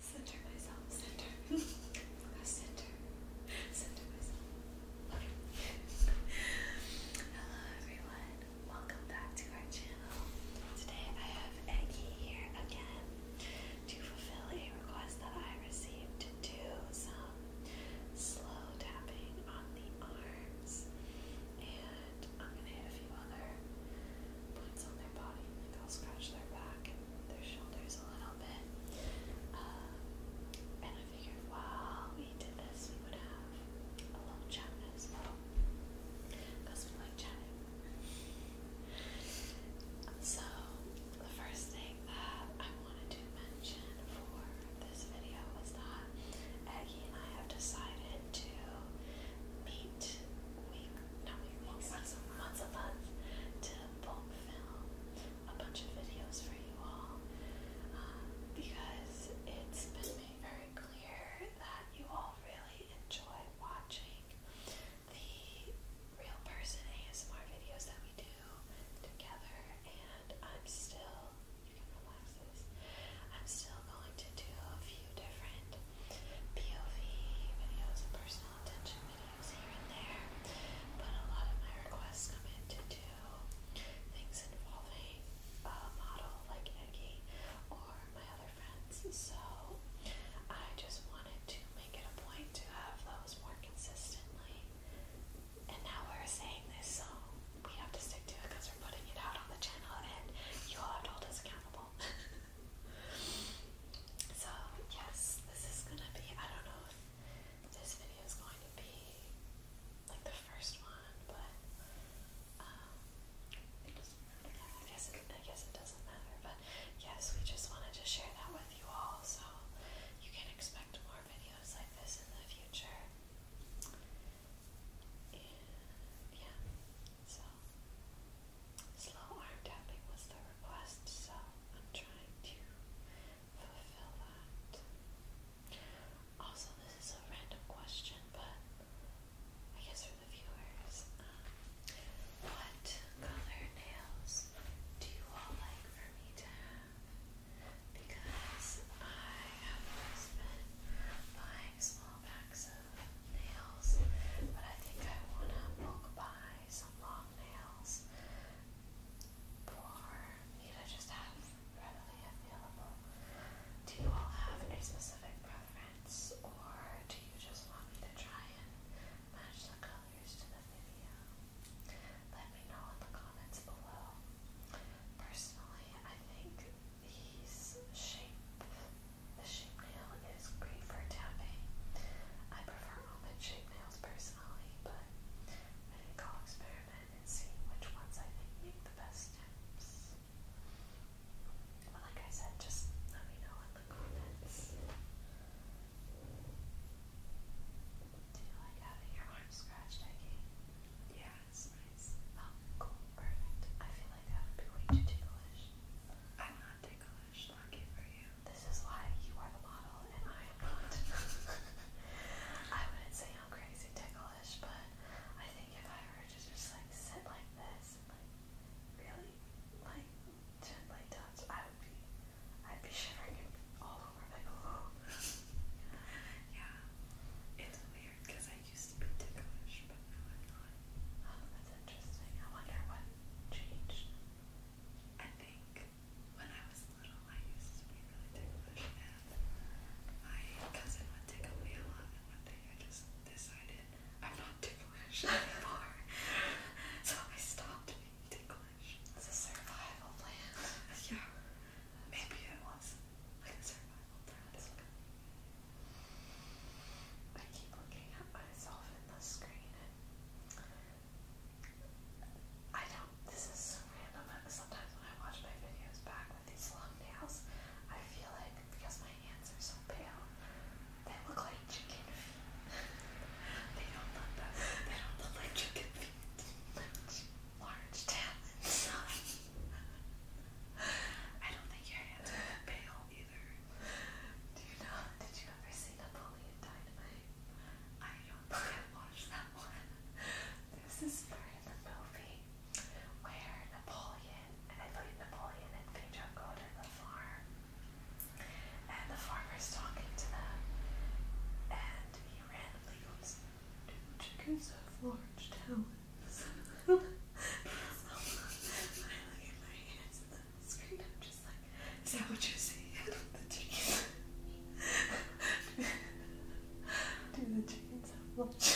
Center Hello everyone. Welcome back to our channel. Today I have Eggy here again to fulfill a request that I received to do some slow tapping on the arms. And I'm gonna hit a few other points on their body. Like I'll scratch their back their shoulders a little bit. Um, and I figured while we did this, we would have a little chat as well. Because we like chatting. So, the first thing that I wanted to mention for this video was that Aggie and I have decided to meet weekly. Now we make once a, once a month to film a bunch of videos for you all um, because it's been made very clear that you all really enjoy watching the real person ASMR videos that we do together, and I'm still, you can relax this, I'm still going to do a few few different POV videos and personal attention videos here and there, but a lot of my requests come in things involving a uh, model like Eggy or my other friends, so I just wanted to make it a point to have those more consistently. And now we're saying this, so we have to stick to it because we're putting it out on the channel, and you all have to hold us accountable. So, yes, this is gonna be, I don't know if this video is going to be like the first one, but um, it doesn't, yeah, I, guess it, I guess it doesn't matter. But yes, we just wanted to share that with you all, so you can expect more videos like this in the future. And yeah, so slow arm tapping was the request, so I'm trying to fulfill that. Also, this is a random question, but I guess for the viewers, um, what color nails do you all like for me to have? Because I have always been buying small packs nails, but I think I want to bulk buy some long nails for me just have readily available. Do you all have a specific preference, or do you just want me to try and match the colors to the video? Let me know in the comments below. Personally, I think these shape the shape nail is great for tapping. I prefer almond shape nails personally, but I think I'll experiment and see which ones I think make the best steps. But like I said, just let me know in the comments. Do you like having your arm scratched, Eggie? Yeah, it's nice. Oh, cool, perfect. I feel like that would be way too ticklish. I'm not ticklish, lucky for you. This is why you are the model and I am not. I wouldn't say I'm crazy ticklish, but I think if I were to just like sit like this and like really like gently touch, I would be I'd be shivering all over like oh. yeah. It's weird because I I used to be ticklish, but now I'm not. Oh, that's interesting. I wonder what changed. I think when I was little, I used to be really ticklish, and my cousin would tickle me a lot, and one day I just decided I'm not ticklish anymore. so I stopped being ticklish. It's a survival plan. yeah. Maybe it was like a survival plan. I keep looking at myself in the screen and I don't this is so random sometimes when I watch my videos back with these long nails I feel like because my hands are so pale they look like chicken feet. they don't look that, they don't look like chicken feet. Large talons. I don't think your hands are that pale either. Do you know? Did you ever see Napoleon Dynamite? I don't think that one. this is in the movie where Napoleon, and I believe Napoleon and Pedro go to the farm, and the farmer's talking to them, and he randomly goes, "Two chickens have large tails." is that what you see? the chickens. Do the chickens have lunch?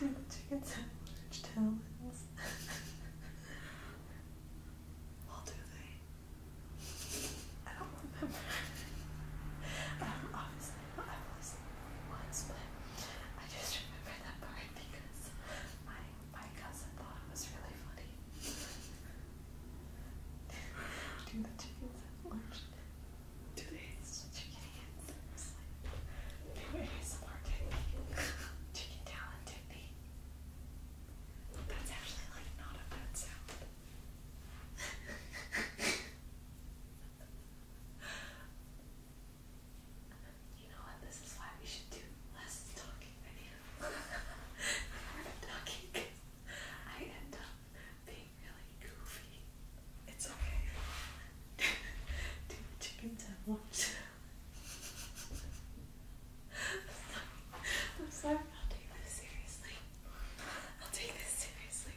Do the chickens have large talons? well, do they? I don't remember. um, obviously, last but I just remember that part because my my cousin thought it was really funny. Do the chickens have lunch? Do they eat chicken hands? New ASMR technique. Chicken talent technique. That's actually like not a bad sound. You know what? This is why we should do less talking videos. More talking because I end up being really goofy. It's okay. do the chicken sandwich. I'm sorry. I'm sorry. I'll take this seriously. I'll take this seriously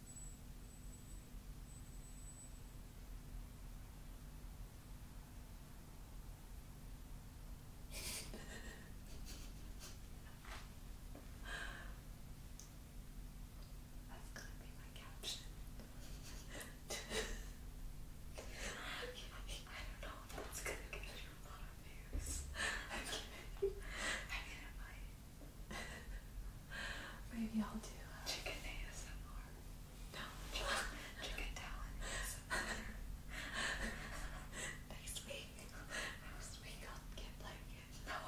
That's gonna be my caption. I don't know if that's gonna get you a lot of views. I'm kidding. I mean, it might. Maybe I'll do uh, chicken ASMR. No, chicken, chicken talent Next week, next week I'll get like no,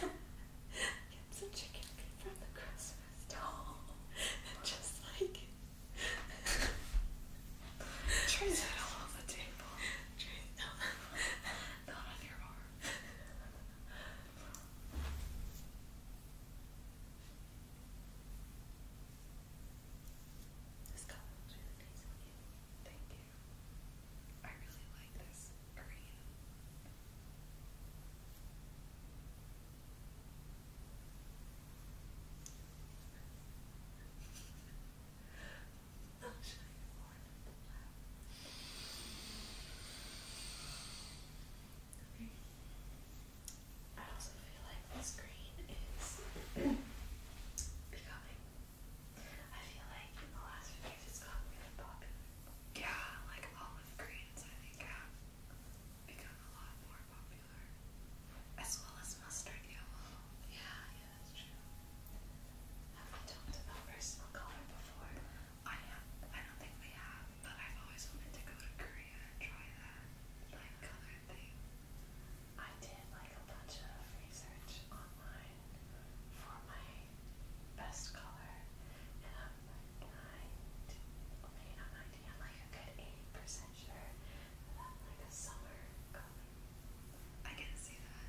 get some chicken from the Christmas doll, and just like try that all on the table. Try no, not on your arm. This color looks really nice on you. Thank you. I really like this area. I'll show I also feel like green is becoming. I feel like in the last few years it's gotten really popular. Yeah, like olive greens I think have become a lot more popular. As well as mustard yellow. Yeah, yeah, that's true. Have we talked about personal color before? I have, I don't think they have, but I've always wanted to go to Korea and try that like color thing. I did like a bunch of research online for my best color, and I'm like ninety, maybe not ninety, I'm like a good eighty percent sure that like a summer color. I can see that.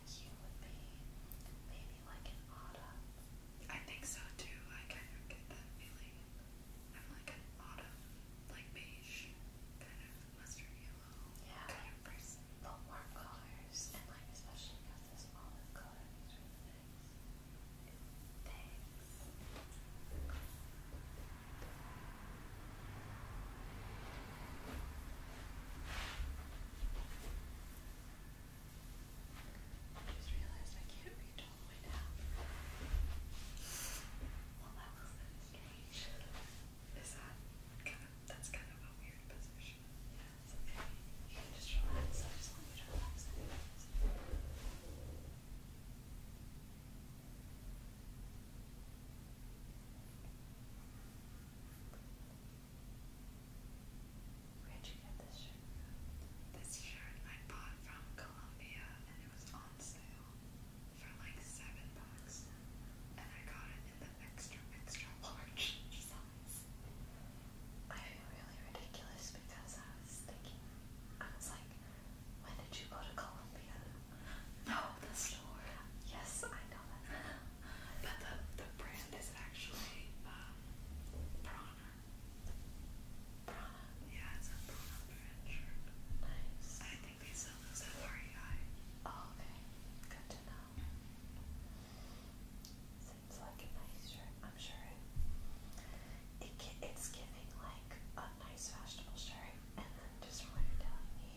like you I think so too. I kind of get that feeling. I'm like an autumn, like beige, kind of mustard yellow kind of person. The warm colors and like especially because this olive color Thanks just realized I can't reach all the way down. Well, that was kind of strange. Is that kind of, that's kind of a weird position. Yeah, it's okay. You can just relax. I just want you to relax anyways. Okay. Where'd you get this shirt This shirt I bought from Columbia and it was on sale for like seven bucks. And I got it in the extra, extra large size. I feel really ridiculous because I was thinking, I was like, when did you go to Columbia? No, the store. Yes, I know that. but the the brand is actually um, Prana. Prana. Yeah, it's a Prana brand shirt. Nice. I think they sell those at REI. Oh, okay. Good to know. Seems like a nice shirt. I'm sure it, it's giving like a nice vegetable shirt, and then just when you're me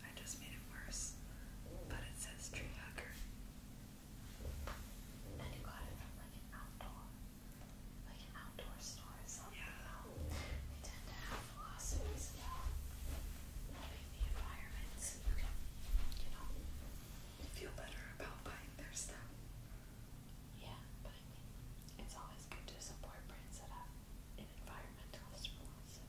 I just made it worse. But it says tree hugger. And you got it from like an outdoor, like an outdoor store or Yeah. They tend to have philosophies about helping the environment so you can, you know, feel better about buying their stuff. Yeah, but I mean, it's always good to support brands that have an environmentalist philosophy.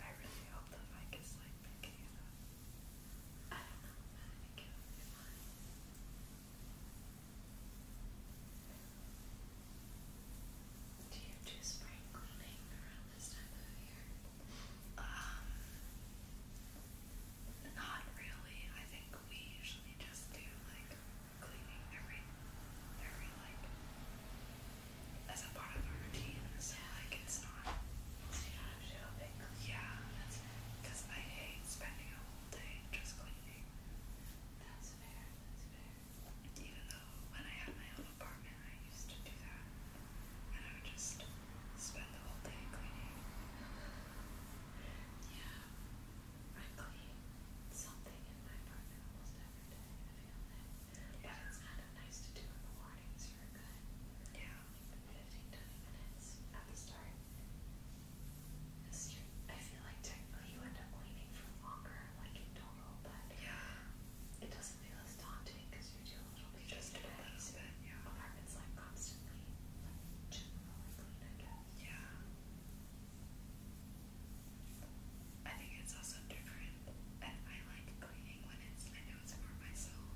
I really hope the mic is like picking I don't know, man, I think do you do spring cleaning around this time of year? Um, not really. I think we usually just do like cleaning every, every like, as a part of our routine. So like it's not. Yeah, That's fair. That's fair. Even though when I had my own apartment, I used to do that. And I would just spend the whole day cleaning. yeah, I clean something in my apartment almost every day. I feel kind of nice to do in the morning so you're good. Yeah. Like 15, at the start. I feel like technically you end up cleaning for longer, like you don't normal, but yeah. it doesn't feel as daunting because you do a little bit just a little bit, yeah. Apartments like constantly like generally clean, I guess. Yeah. I think it's also different, and I like cleaning when it's I know it's for myself.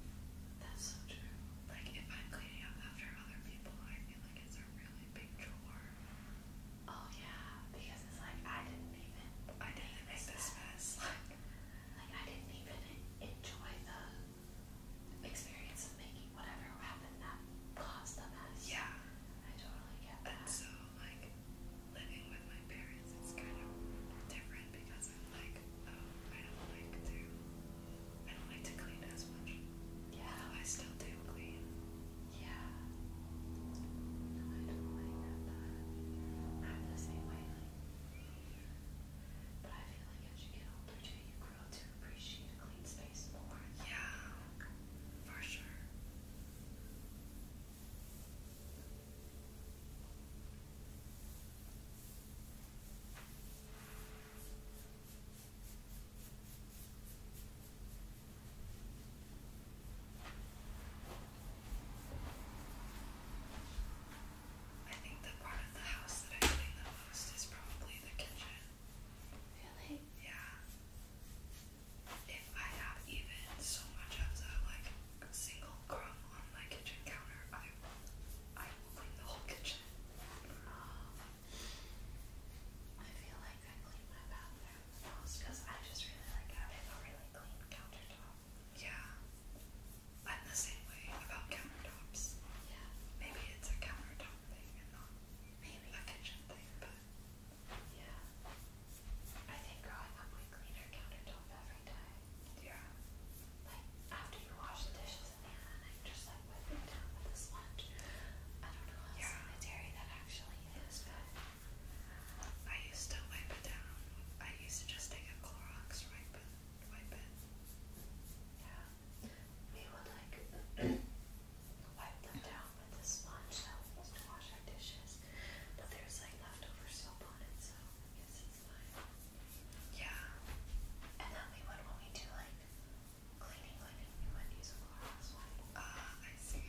That's so true. Like if I'm cleaning up after other people, I feel like it's a really big chore. Oh yeah, because it's like I didn't even. I didn't make this mess. Like, like I didn't even enjoy the experience of making whatever happened that caused the mess. Yeah, I totally get that. so like living with my parents is kind of different because I'm like, oh, I don't like to. I don't like to clean as much. Yeah, I still do clean. Yeah. I don't like that I'm the same way. but I feel like as you get older too, you grow to appreciate a clean space more. Yeah. For sure. I think the part of the house that I clean the most is probably the kitchen. Really? Yeah. If I have even so much as a like single crumb on my kitchen counter, I I will clean the whole kitchen. Oh. I feel like I clean my bathroom the most because I just really like having a really clean countertop. Yeah. I'm the same way about countertops. Yeah. Maybe it's a countertop thing and not maybe a kitchen thing, but yeah. I think growing up we clean our countertop every day. Yeah. Like after you wash the dishes in the end, I just like wipe it down with a sponge. I don't know how yeah. sanitary that actually is, but I used to wipe it down. I used to just take a Clorox wipe it, wipe it. Yeah, we would like wipe them down with the sponge that we used to wash our dishes, but there's like leftover soap on it, so I guess it's fine. Yeah, and then we would when we do like cleaning, like we would use a Clorox wipe. Ah, uh, I see.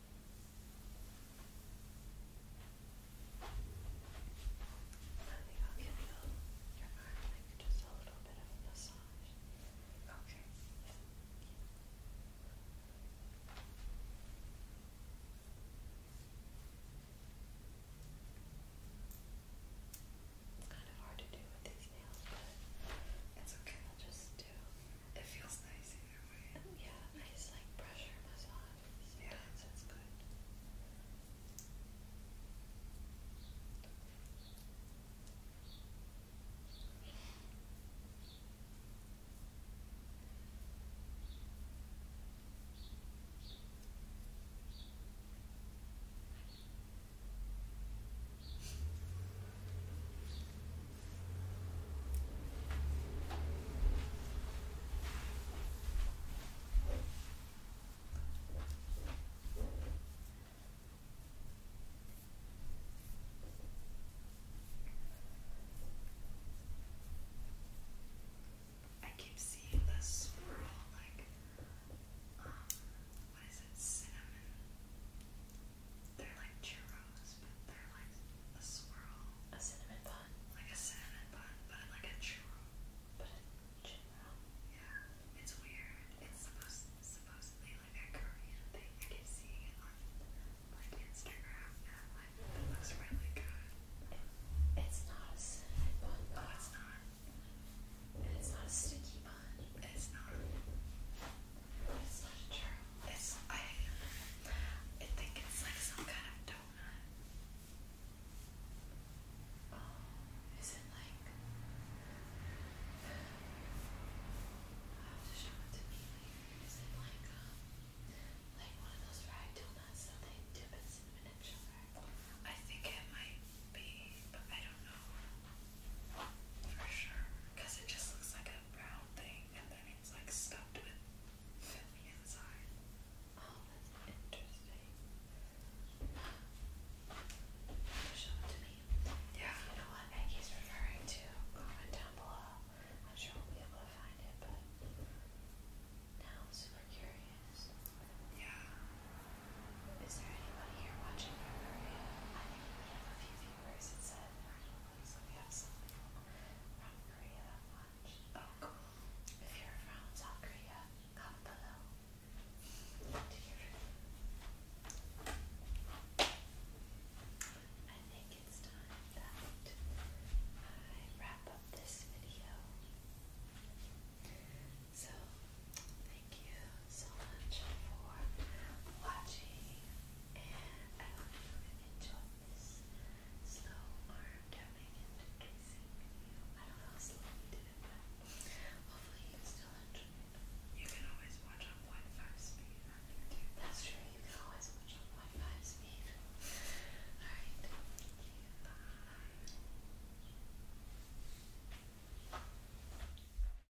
I think I'll give your arm like just a little bit of a massage. Okay. It's kind of hard to do with these nails, but it's okay. just do. It feels nice right? Yeah, I just like pressure massage. Sometimes yeah, that's good. I keep seeing the swirl, like, um, what is it, cinnamon? They're like churros, they're like a swirl. A cinnamon bun. Like a cinnamon bun, but like a churro. But a churro. Yeah, it's weird. It's supposed supposedly like a Korean thing. I keep seeing it on like Instagram, it looks really good. it's not a cinnamon bun. Though. it's not. it's not a sticky bun. It's not. It's not true. It's I. I think it's like some kind of donut. Oh, is it like? I have to show it to me later. Is it like um, like one of those fried donuts that they and sugar? I think it might be, but I don't know. For sure. Because it just looks like a brown thing and then it's like stuffed with filling inside. Oh, that's interesting. Show it to me. Yeah. You know what Maggie's referring to? Comment down below. I'm sure we'll be able to find it, but now I'm super curious. Yeah. Is there anybody here watching I think we have a few I Oh, cool. If you're from South Korea, comment below. I think it's time that I wrap up this video. So, thank you so much for watching, and I hope you enjoyed this slow arm tapping and tracing video. I don't know how slow did it, but hopefully you still enjoy it. You can always watch on Wi-Fi speed That's true, you can always watch on Wi-Fi speed. Alright, Bye.